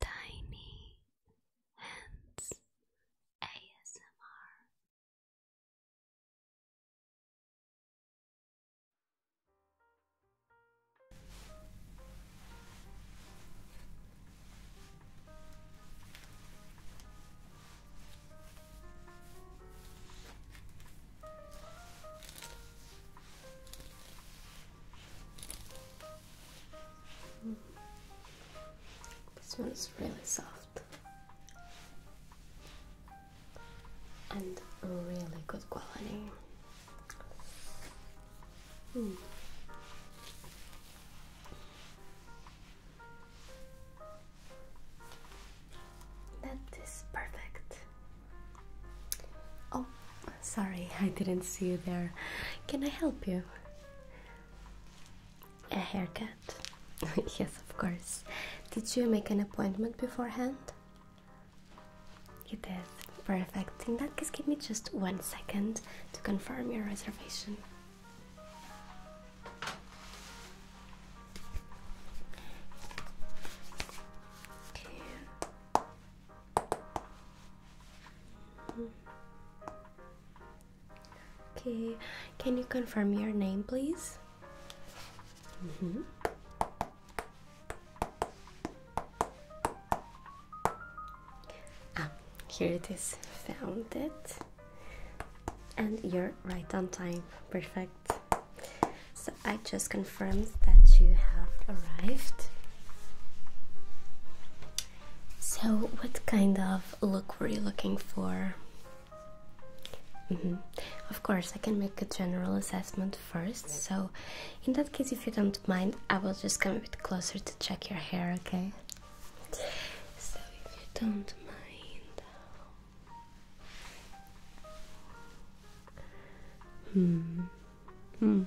Tiny Hands ASMR. This one is really soft and really good quality. Hmm. That is perfect. Oh, sorry, I didn't see you there. Can I help you? A haircut. yes, of course. Did you make an appointment beforehand? You did. Perfect. In that case, give me just one second to confirm your reservation. Okay. Okay, can you confirm your name, please? Mm-hmm. Ah, here it is. Found it. And you're right on time. Perfect. So I just confirmed that you have arrived. So, what kind of look were you looking for? Mm-hmm. Of course, I can make a general assessment first. So, in that case, if you don't mind, I will just come a bit closer to check your hair, okay? So, if you don't mind. Hmm. Hmm.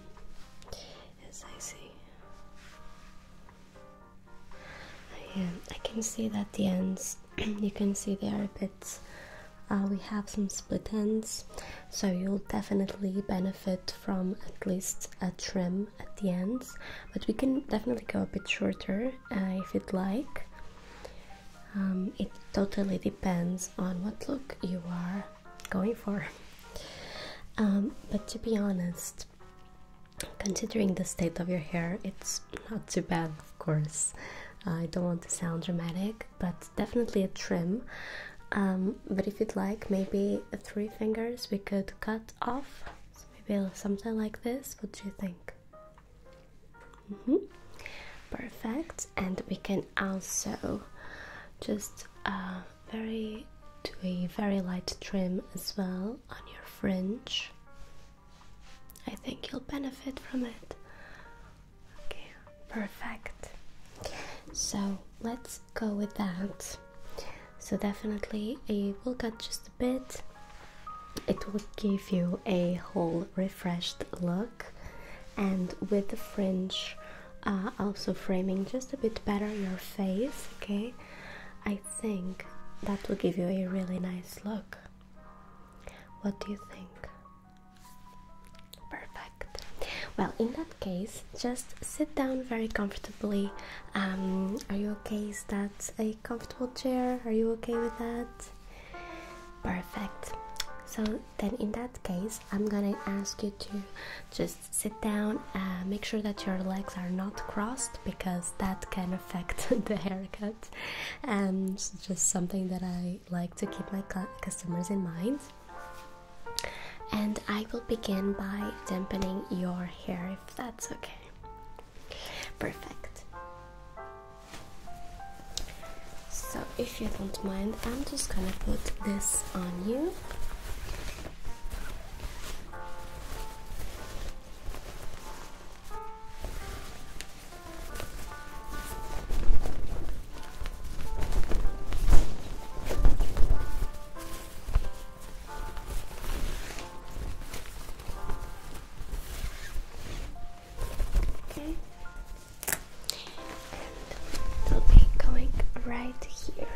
Yes, I see. I, um, I can see that the ends, you can see they are a bit. Uh, we have some split ends, so you'll definitely benefit from at least a trim at the ends. But we can definitely go a bit shorter uh, if you'd like. Um, it totally depends on what look you are going for. Um, but to be honest, considering the state of your hair, it's not too bad, of course. I don't want to sound dramatic, but definitely a trim. Um, but if you'd like, maybe three fingers we could cut off. maybe something like this. What do you think? Mm-hmm. Perfect. And we can also just uh, very do a very light trim as well on your fringe. I think you'll benefit from it. Okay, perfect. So let's go with that. So definitely a will cut just a bit. It will give you a whole refreshed look and with the fringe uh, also framing just a bit better your face okay i think that will give you a really nice look what do you think perfect well in that case just sit down very comfortably um, are you okay is that a comfortable chair are you okay with that perfect so then in that case i'm gonna ask you to just sit down uh, make sure that your legs are not crossed because that can affect the haircut and um, it's just something that I like to keep my customers in mind and I will begin by dampening your hair if that's okay perfect so if you don't mind I'm just gonna put this on you Okay. And it'll be going right here.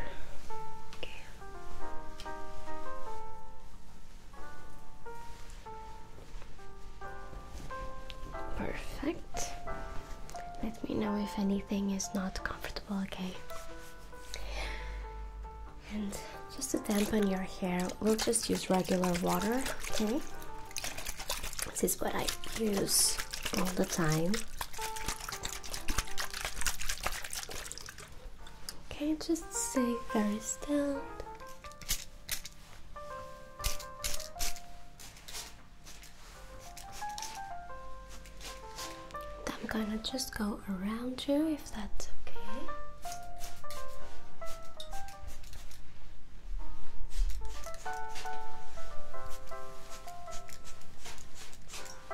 Perfect. Let me know if anything is not comfortable, okay? And just to dampen your hair, we'll just use regular water, okay? This is what I use all the time. Okay, just stay very still. I'm gonna just go around you if that's okay. Okay.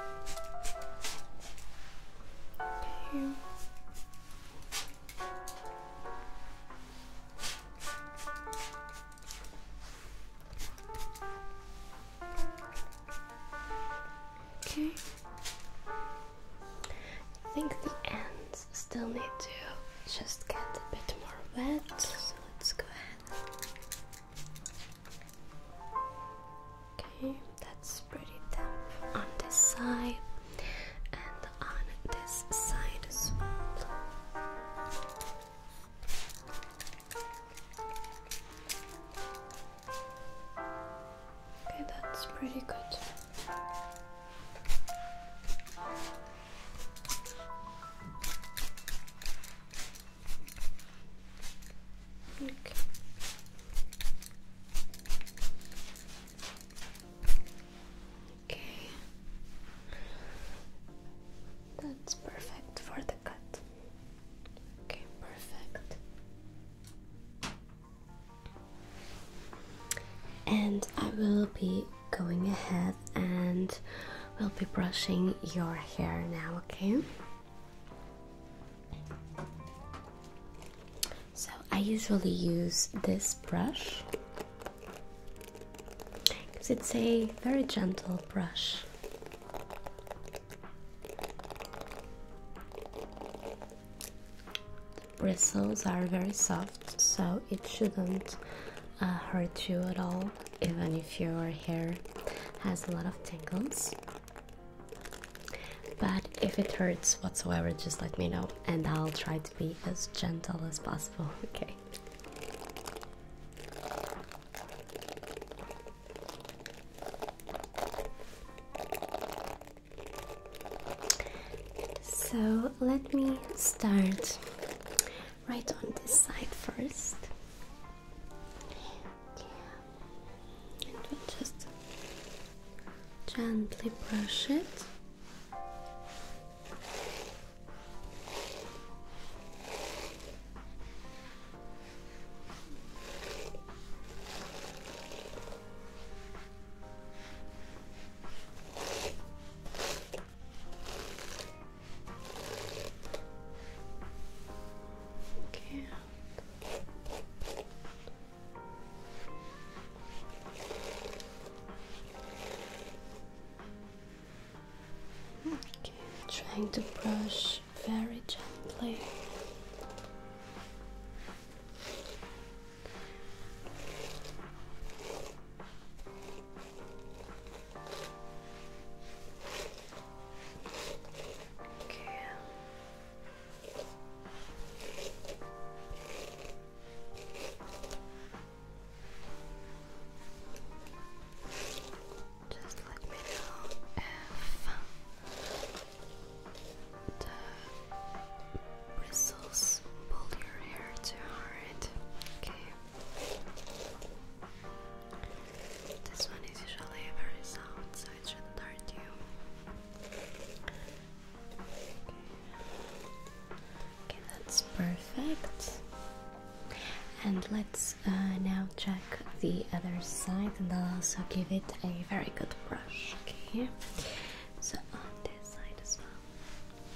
Okay. I think the ends still need to just get a bit more wet, so let's go ahead. Okay, that's pretty damp on this side and on this side as well. Okay, that's pretty good. Okay. okay. That's perfect for the cut. Okay, perfect. And I will be going ahead and we will be brushing your hair now, okay? So I usually use this brush because it's a very gentle brush. The bristles are very soft, so it shouldn't uh, hurt you at all, even if your hair has a lot of tangles. But if it hurts whatsoever, just let me know and I'll try to be as gentle as possible, okay? So let me start right on this side first. And we'll just gently brush it. Okay. Okay, trying to brush very gently. Okay. Just let me know if the bristles pull your hair too hard. Okay. This one is usually very soft. Okay, that's perfect. And let's uh, now check the other side and I'll also give it a very good brush. Okay, so on this side as well.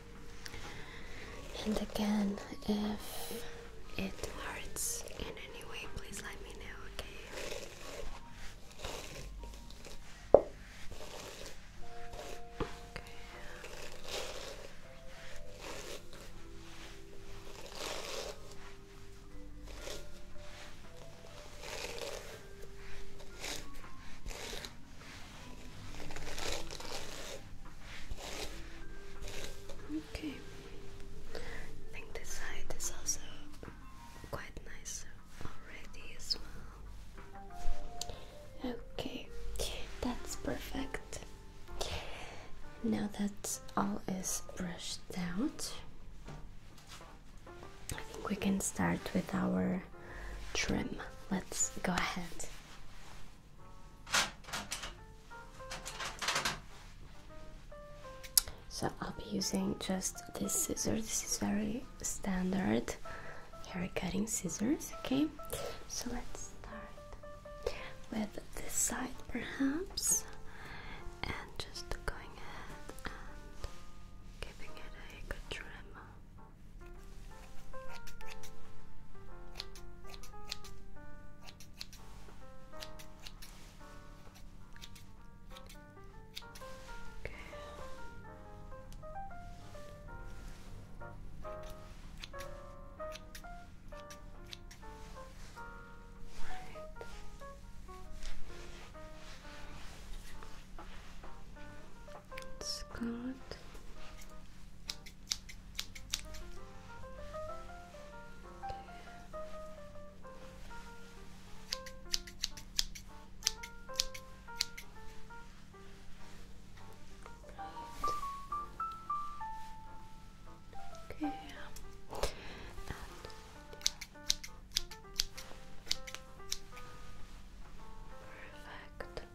And again, if it hurts in any way, please let me know, okay? Okay, I think this side is also quite nice already as well. Okay, that's perfect. Now that all is brushed out, I think we can start with our trim. Let's go ahead. So I'll be using just this scissors. This is very standard hair cutting scissors. Okay, so let's start with this side perhaps, and just going ahead and giving it a good trim. Okay. Right. It's good. Okay. And Perfect.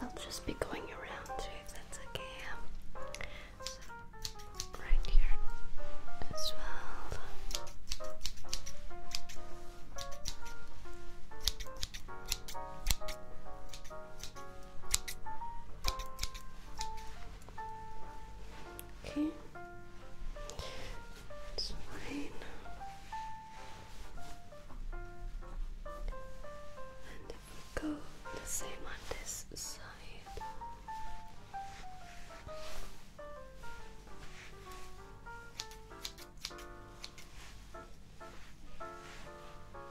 They'll just be going around too if that's okay. So right here as well. Okay. Okay. It's fine. And go the same on this side.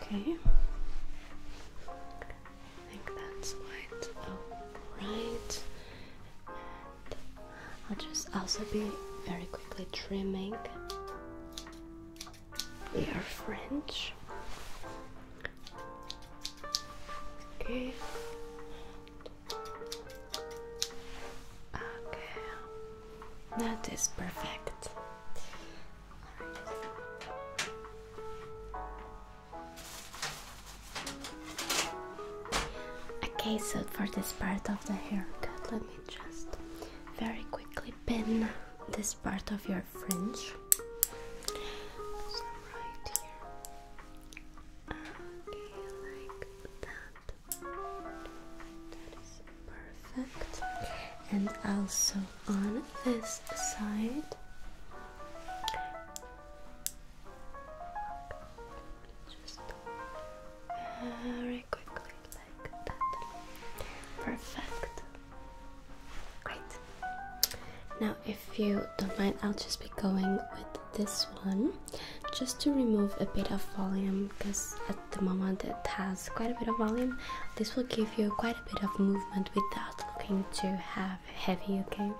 Okay. I think that's quite I'll just also be very quickly trimming. They are French. Okay. Okay. That is perfect. Okay, so for this part of the haircut, let me just very quickly pin this part of your fringe. So right here. Okay, like that. That is perfect. And also on this side. Perfect. Great. Now, if you don't mind, I'll just be going with this one just to remove a bit of volume because at the moment it has quite a bit of volume. This will give you quite a bit of movement without looking to have heavy, okay?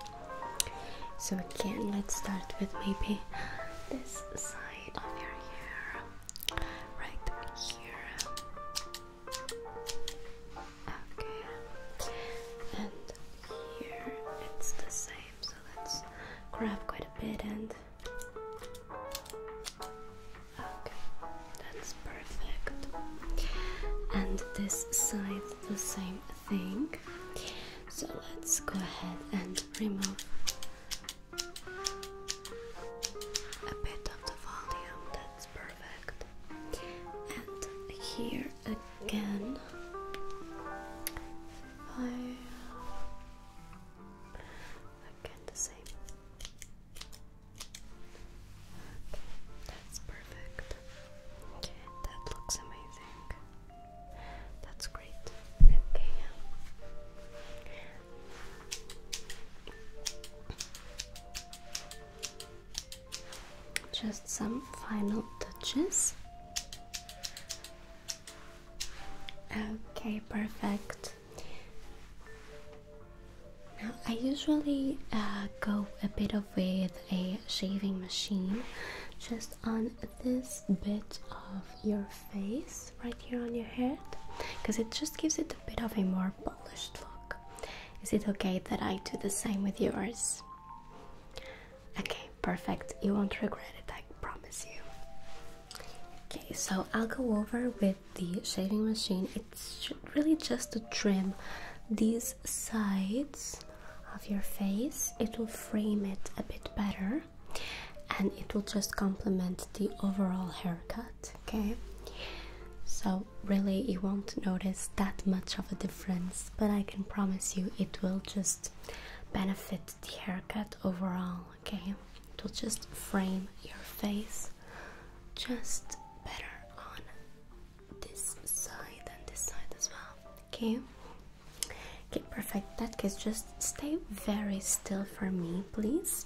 So, again, let's start with maybe this side right here. Okay, and here it's the same, so let's grab quite a bit and okay, that's perfect. And this side, the same thing. So let's go ahead and remove a bit of the volume, that's perfect. And here again, I again the same. that's perfect. That looks amazing. That's great. Okay. Just some final touches. Okay, perfect. Now, I usually uh, go a bit of with a shaving machine just on this bit of your face right here on your head because it just gives it a bit of a more polished look. Is it okay that I do the same with yours? Okay, perfect. You won't regret it, I promise you. Okay, so I'll go over with the shaving machine. It's really just to trim these sides of your face, it will frame it a bit better and it will just complement the overall haircut. Okay, so really you won't notice that much of a difference, but I can promise you it will just benefit the haircut overall. Okay, it will just frame your face just better on this side and this side as well. Okay, okay, perfect. That case, just stay very still for me, please.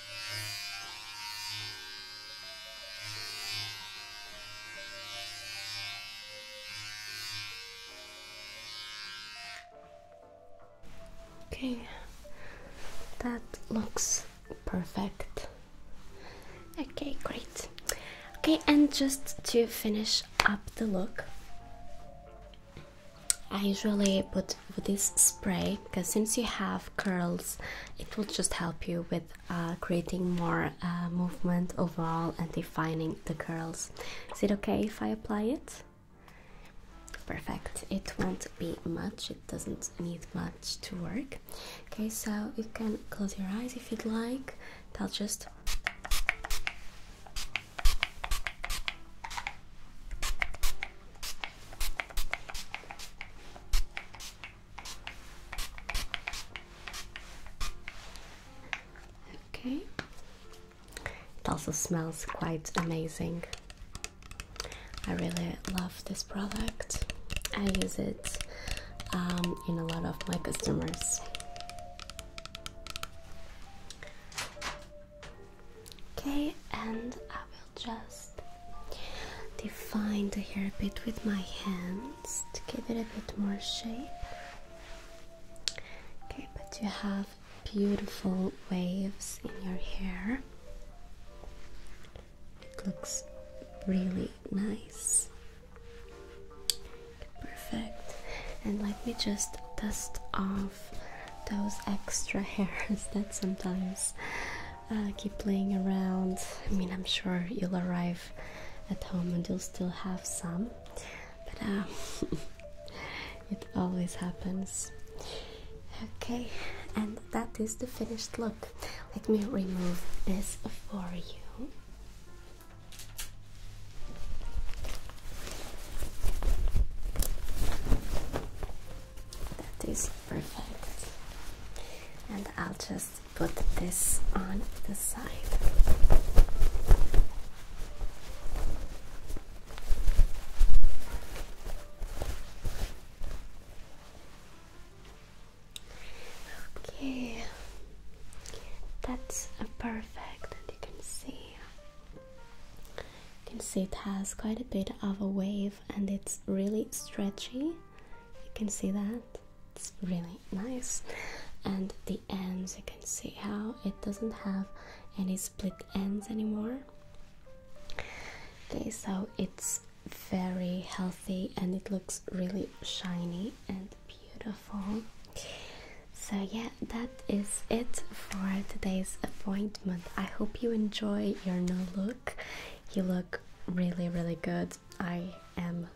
Okay, that looks perfect. Okay, great. Okay, and just to finish up the look, I usually put this spray because since you have curls, it will just help you with uh, creating more uh, movement overall and defining the curls. Is it okay if I apply it? Perfect. It won't be much. It doesn't need much to work. Okay, so you can close your eyes if you'd like. I'll just Okay. It also smells quite amazing. I really love this product. I use it um, in a lot of my customers. Okay, and I will just define the hair a bit with my hands to give it a bit more shape. Okay, but you have beautiful waves in your hair. It looks really nice. Perfect. And let me just dust off those extra hairs that sometimes uh, keep playing around. I mean, I'm sure you'll arrive at home and you'll still have some, but uh, it always happens. Okay, and that is the finished look. Let me remove this for you. That is perfect. And I'll just put this on the side. Okay, that's perfect, and you can see. You can see it has quite a bit of a wave and it's really stretchy. You can see that. It's really nice. And the ends, you can see how it doesn't have any split ends anymore. Okay, so it's very healthy and it looks really shiny and beautiful. So, yeah, that is it for today's appointment. I hope you enjoy your new look. You look really, really good. I am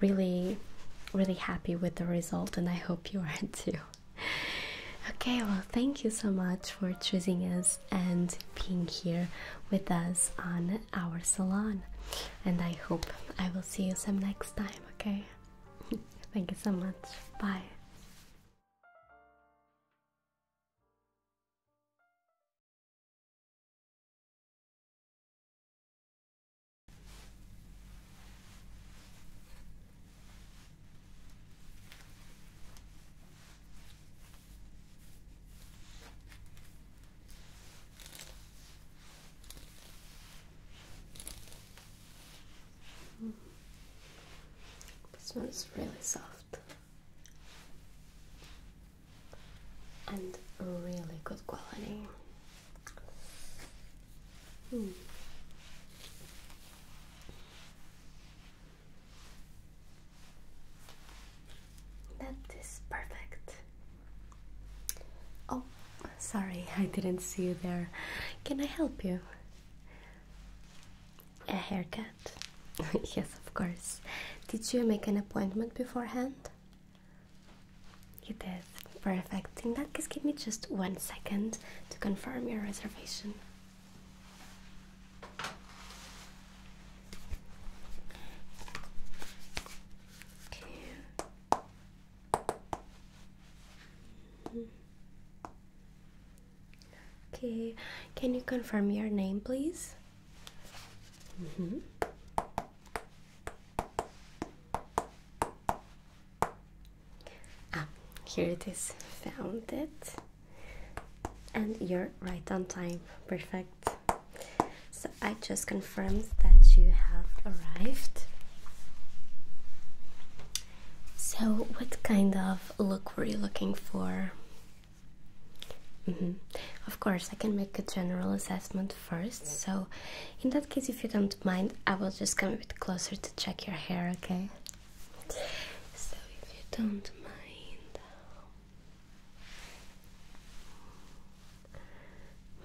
really, really happy with the result, and I hope you are too. Okay, well, thank you so much for choosing us and being here with us on our salon. And I hope I will see you some next time, okay? thank you so much. Bye. This one is really soft and really good quality. Hmm. That is perfect. Oh, sorry, I didn't see you there. Can I help you? A haircut? yes, of course. Did you make an appointment beforehand? You did. Perfect. In that case, give me just one second to confirm your reservation. Okay. Okay, can you confirm your name, please? Mm -hmm. Ah, here it is. Found it. And you're right on time. Perfect. So I just confirmed that you have arrived. So, what kind of look were you looking for? Mm -hmm. Of course, I can make a general assessment first. So, in that case, if you don't mind, I will just come a bit closer to check your hair, okay? So, if you don't mind.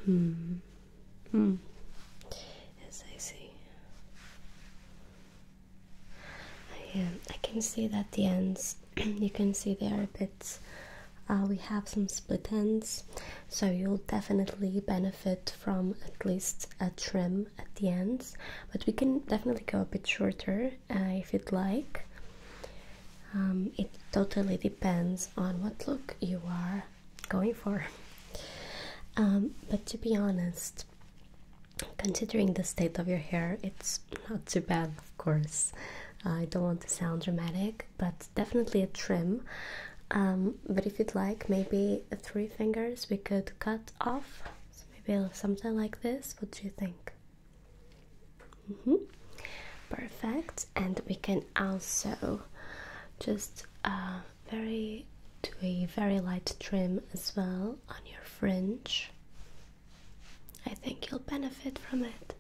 Hmm. Hmm. Yes, I see. I, um, I can see that the ends you can see there are bits uh, we have some split ends so you'll definitely benefit from at least a trim at the ends but we can definitely go a bit shorter uh, if you'd like um, it totally depends on what look you are going for um, but to be honest considering the state of your hair it's not too bad of course. Uh, I don't want to sound dramatic, but definitely a trim. Um, but if you'd like, maybe three fingers we could cut off. maybe something like this. What do you think? Mm-hmm. Perfect. And we can also just uh, very do a very light trim as well on your fringe. I think you'll benefit from it.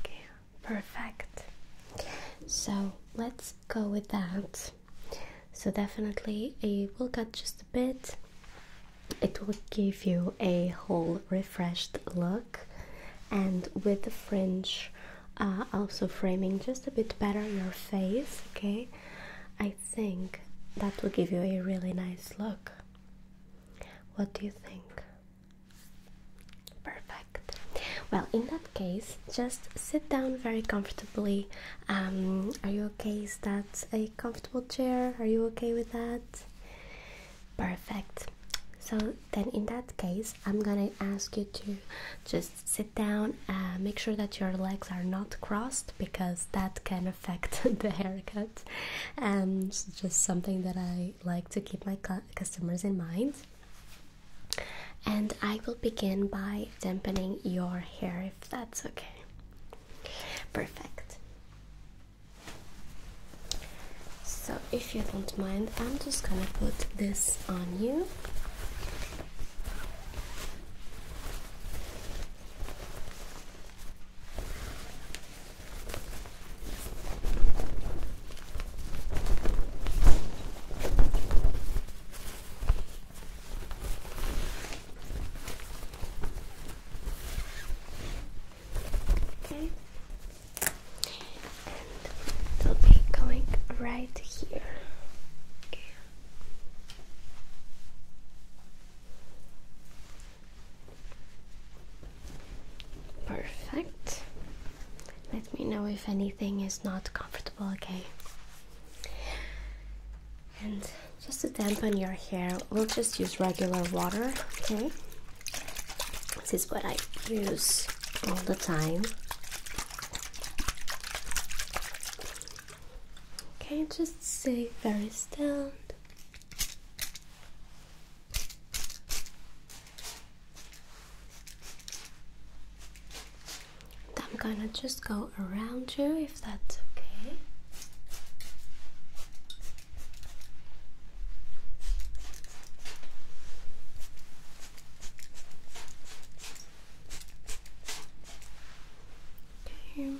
Okay, perfect. So let's go with that. So, definitely, it will cut just a bit, it will give you a whole refreshed look, and with the fringe. Uh, also framing just a bit better your face, okay? I think that will give you a really nice look. What do you think? Perfect. Well, in that case, just sit down very comfortably. Um, are you okay? Is that a comfortable chair? Are you okay with that? Perfect. So, then in that case, I'm gonna ask you to just sit down, uh, make sure that your legs are not crossed because that can affect the haircut. And um, just something that I like to keep my customers in mind. And I will begin by dampening your hair if that's okay. Perfect. So, if you don't mind, I'm just gonna put this on you. Okay, and it'll be going right here. Okay. Perfect. Let me know if anything is not comfortable, okay? And just to dampen your hair, we'll just use regular water, okay? This is what I use all the time. Okay, just stay very still. I'm gonna just go around you if that's okay. Okay.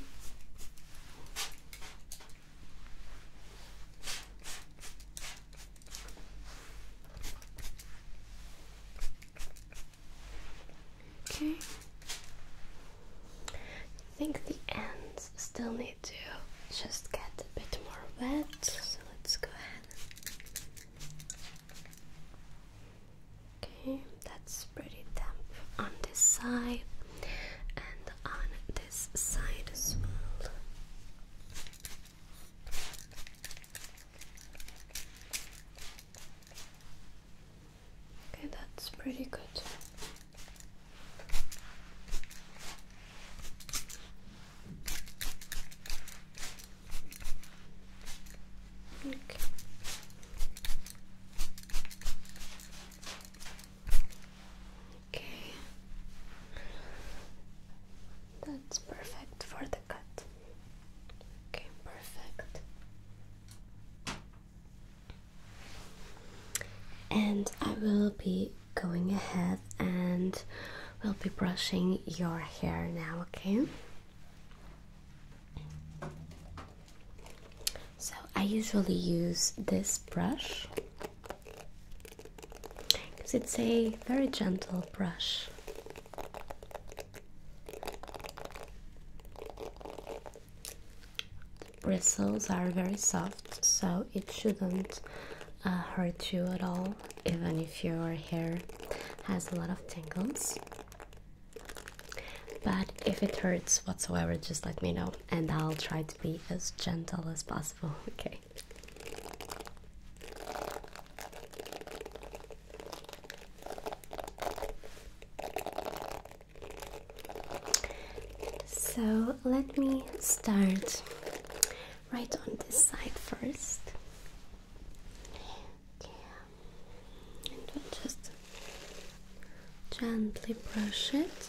Okay. I think the ends still need to just get a bit more wet, so let's go ahead. Okay, that's pretty damp on this side and on this side as well. Okay, that's pretty good. Okay. Okay. That's perfect for the cut. Okay, perfect. And I will be going ahead and we'll be brushing your hair now, okay? So I usually use this brush because it's a very gentle brush. The bristles are very soft, so it shouldn't uh, hurt you at all, even if your hair has a lot of tangles. But if it hurts whatsoever, just let me know and I'll try to be as gentle as possible, okay? So let me start right on this side first. And just gently brush it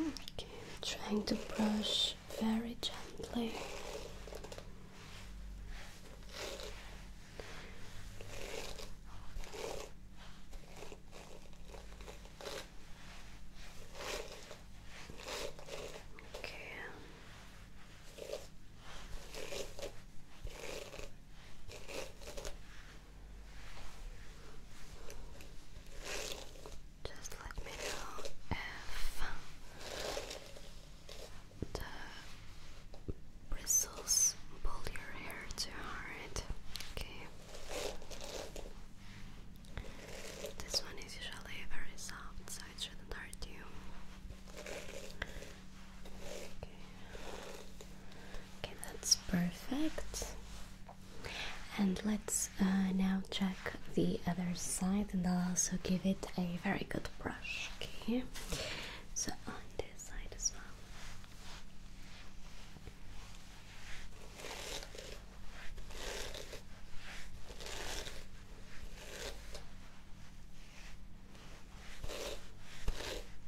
I'm trying to brush very gently. Okay. Just let me know if the bristles pull your hair too hard. Okay. This one is usually very soft, so it shouldn't hurt you. Okay. Okay, that's perfect. And let's uh, now check the other side, and I'll also give it a very good brush. Okay, so on this side as well.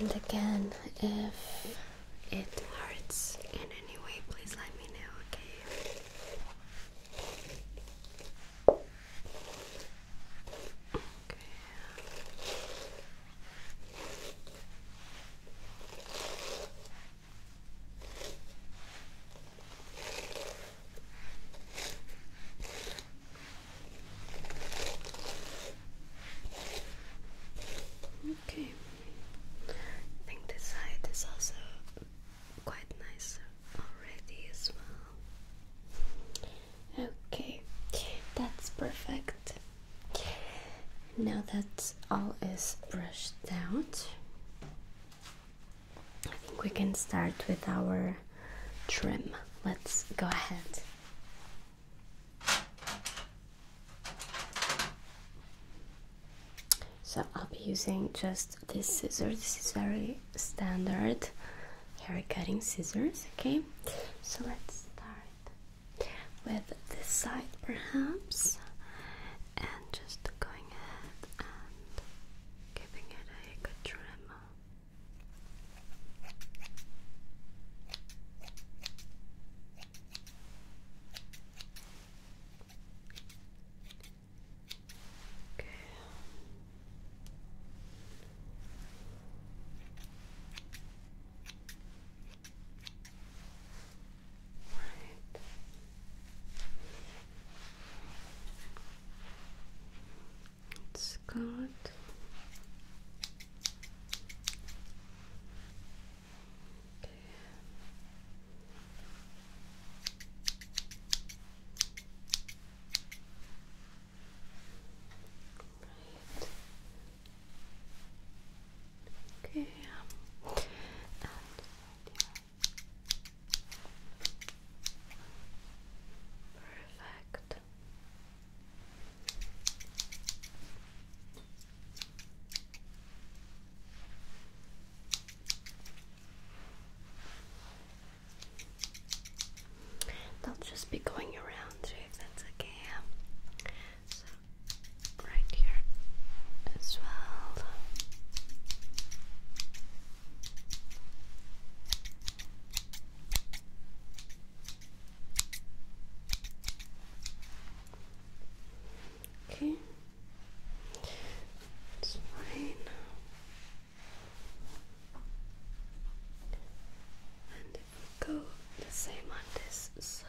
And again, if it hurts in any way, please let me know, okay? Okay. I think this side is also quite nice already as well. Okay, that's perfect. Now that all is brushed out, I think we can start with our trim. Let's go ahead. So I'll be using just this scissors. This is very standard hair cutting scissors. Okay, so let's start with this side perhaps, and just going ahead and giving it a good trim. Okay. It's good. Um, right. Okay. Perfect. They'll just be going around too, if that's okay. So, right here as well. Okay, it's fine. And go the same on this side.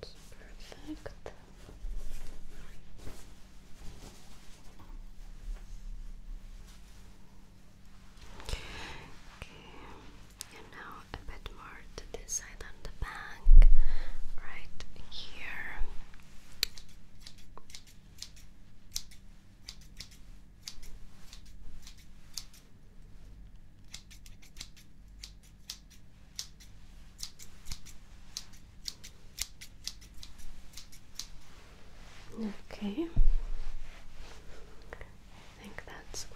perfect. Okay, and now a bit more to this side on the back, right here. Okay, I think that's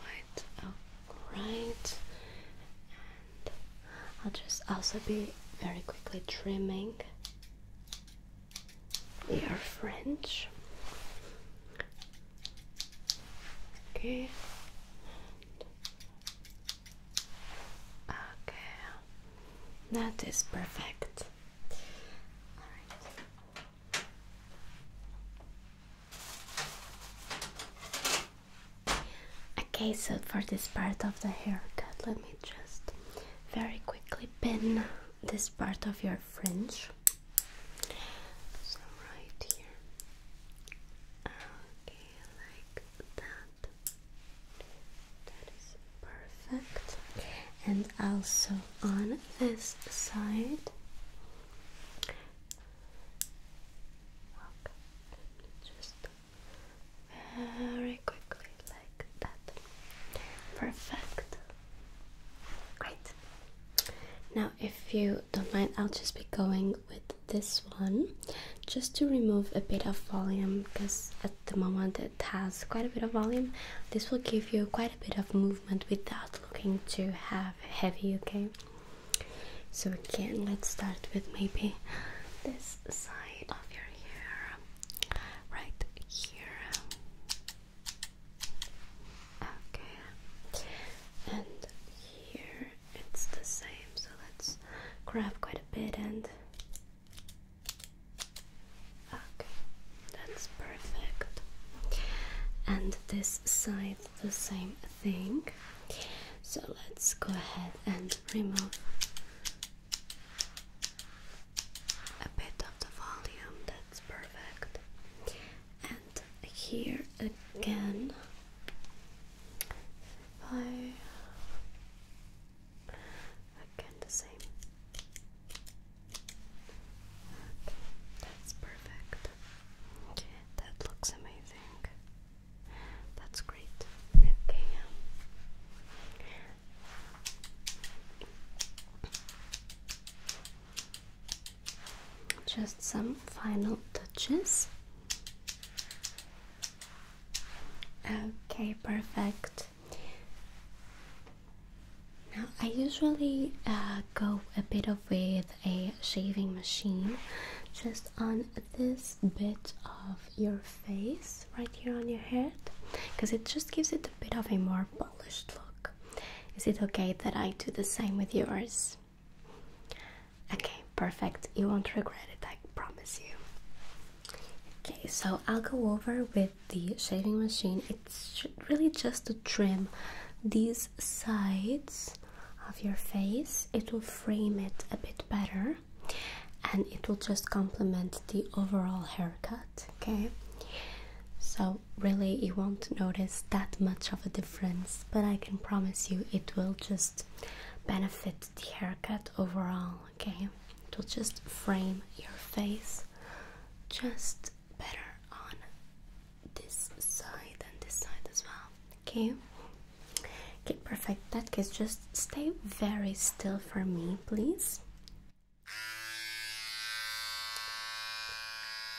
quite I'll just also be very quickly trimming your fringe Okay. Okay. That is perfect. Okay, so for this part of the haircut, let me just very quickly pin this part of your fringe. So right here. Okay, like that. That is perfect. And also on this side. Just very quickly, like that. Perfect. Great. Now, if you don't mind, I'll just be going with this one just to remove a bit of volume because at the moment it has quite a bit of volume. This will give you quite a bit of movement without looking too heavy, okay? So, again, let's start with maybe this side of your hair right here. Okay, and here it's the same, so let's grab quite a bit and okay, that's perfect. And this side, the same thing. So let's go ahead and remove a bit of the volume that's perfect. And here again, I again the same. that's perfect. Okay, that looks amazing. That's great. Okay. Just some final touches. Okay, perfect. Now, I usually uh, go a bit of with a shaving machine just on this bit of your face right here on your head because it just gives it a bit of a more polished look. Is it okay that I do the same with yours? Okay, perfect. You won't regret it, I promise you. Okay, so I'll go over with the shaving machine. It's really just to trim these sides of your face, it will frame it a bit better and it will just complement the overall haircut. Okay, so really you won't notice that much of a difference, but I can promise you it will just benefit the haircut overall, okay? It will just frame your face just better on this side and this side as well, okay? Okay, perfect. That case, just stay very still for me, please.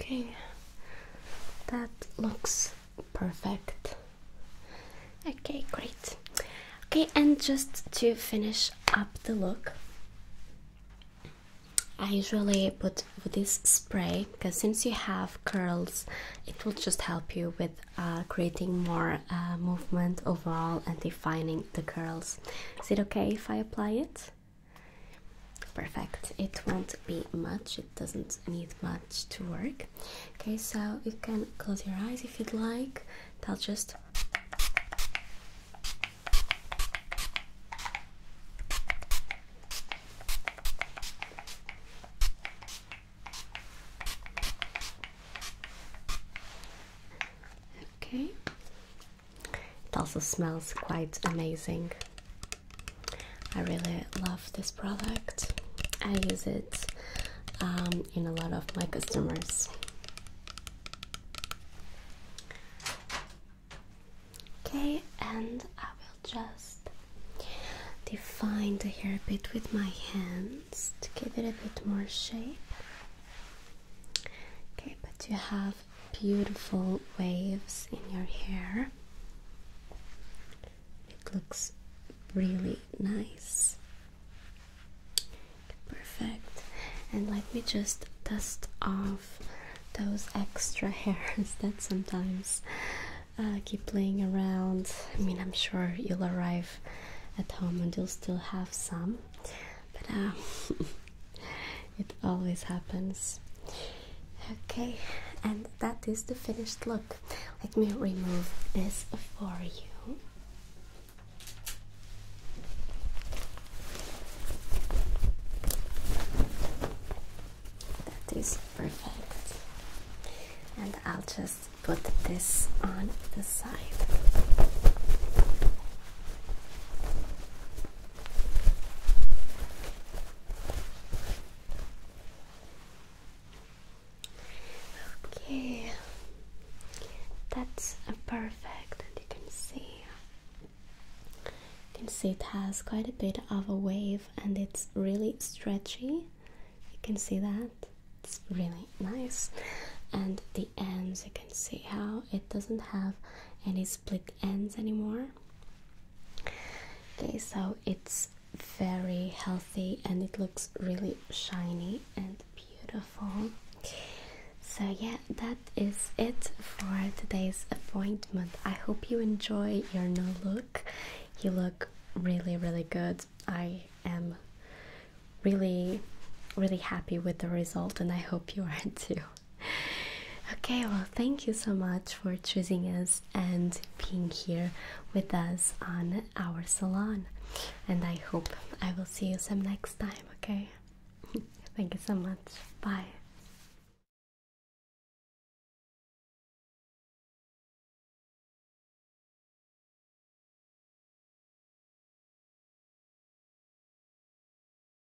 Okay, that looks perfect. Okay, great. Okay, and just to finish up the look, I usually put this spray because since you have curls, it will just help you with uh, creating more uh, movement overall and defining the curls. Is it okay if I apply it? Perfect. It won't be much. It doesn't need much to work. Okay, so you can close your eyes if you'd like. I'll just Okay. It also smells quite amazing. I really love this product. I use it um, in a lot of my customers. Okay, and I will just define the hair a bit with my hands to give it a bit more shape. Okay, but you have beautiful waves in your hair. It looks really nice. Perfect. And let me just dust off those extra hairs that sometimes uh, keep playing around. I mean, I'm sure you'll arrive at home and you'll still have some. But uh, it always happens. Okay, and that is the finished look. Let me remove this for you. That is perfect. And I'll just put this on the side. Okay, that's perfect, and you can see you can see it has quite a bit of a wave, and it's really stretchy. You can see that it's really nice, and the ends you can see how it doesn't have any split ends anymore. Okay, so it's very healthy and it looks really shiny and beautiful. So, yeah, that is it for today's appointment. I hope you enjoy your new look. You look really, really good. I am really, really happy with the result, and I hope you are too. okay, well, thank you so much for choosing us and being here with us on our salon. And I hope I will see you some next time, okay? thank you so much. Bye.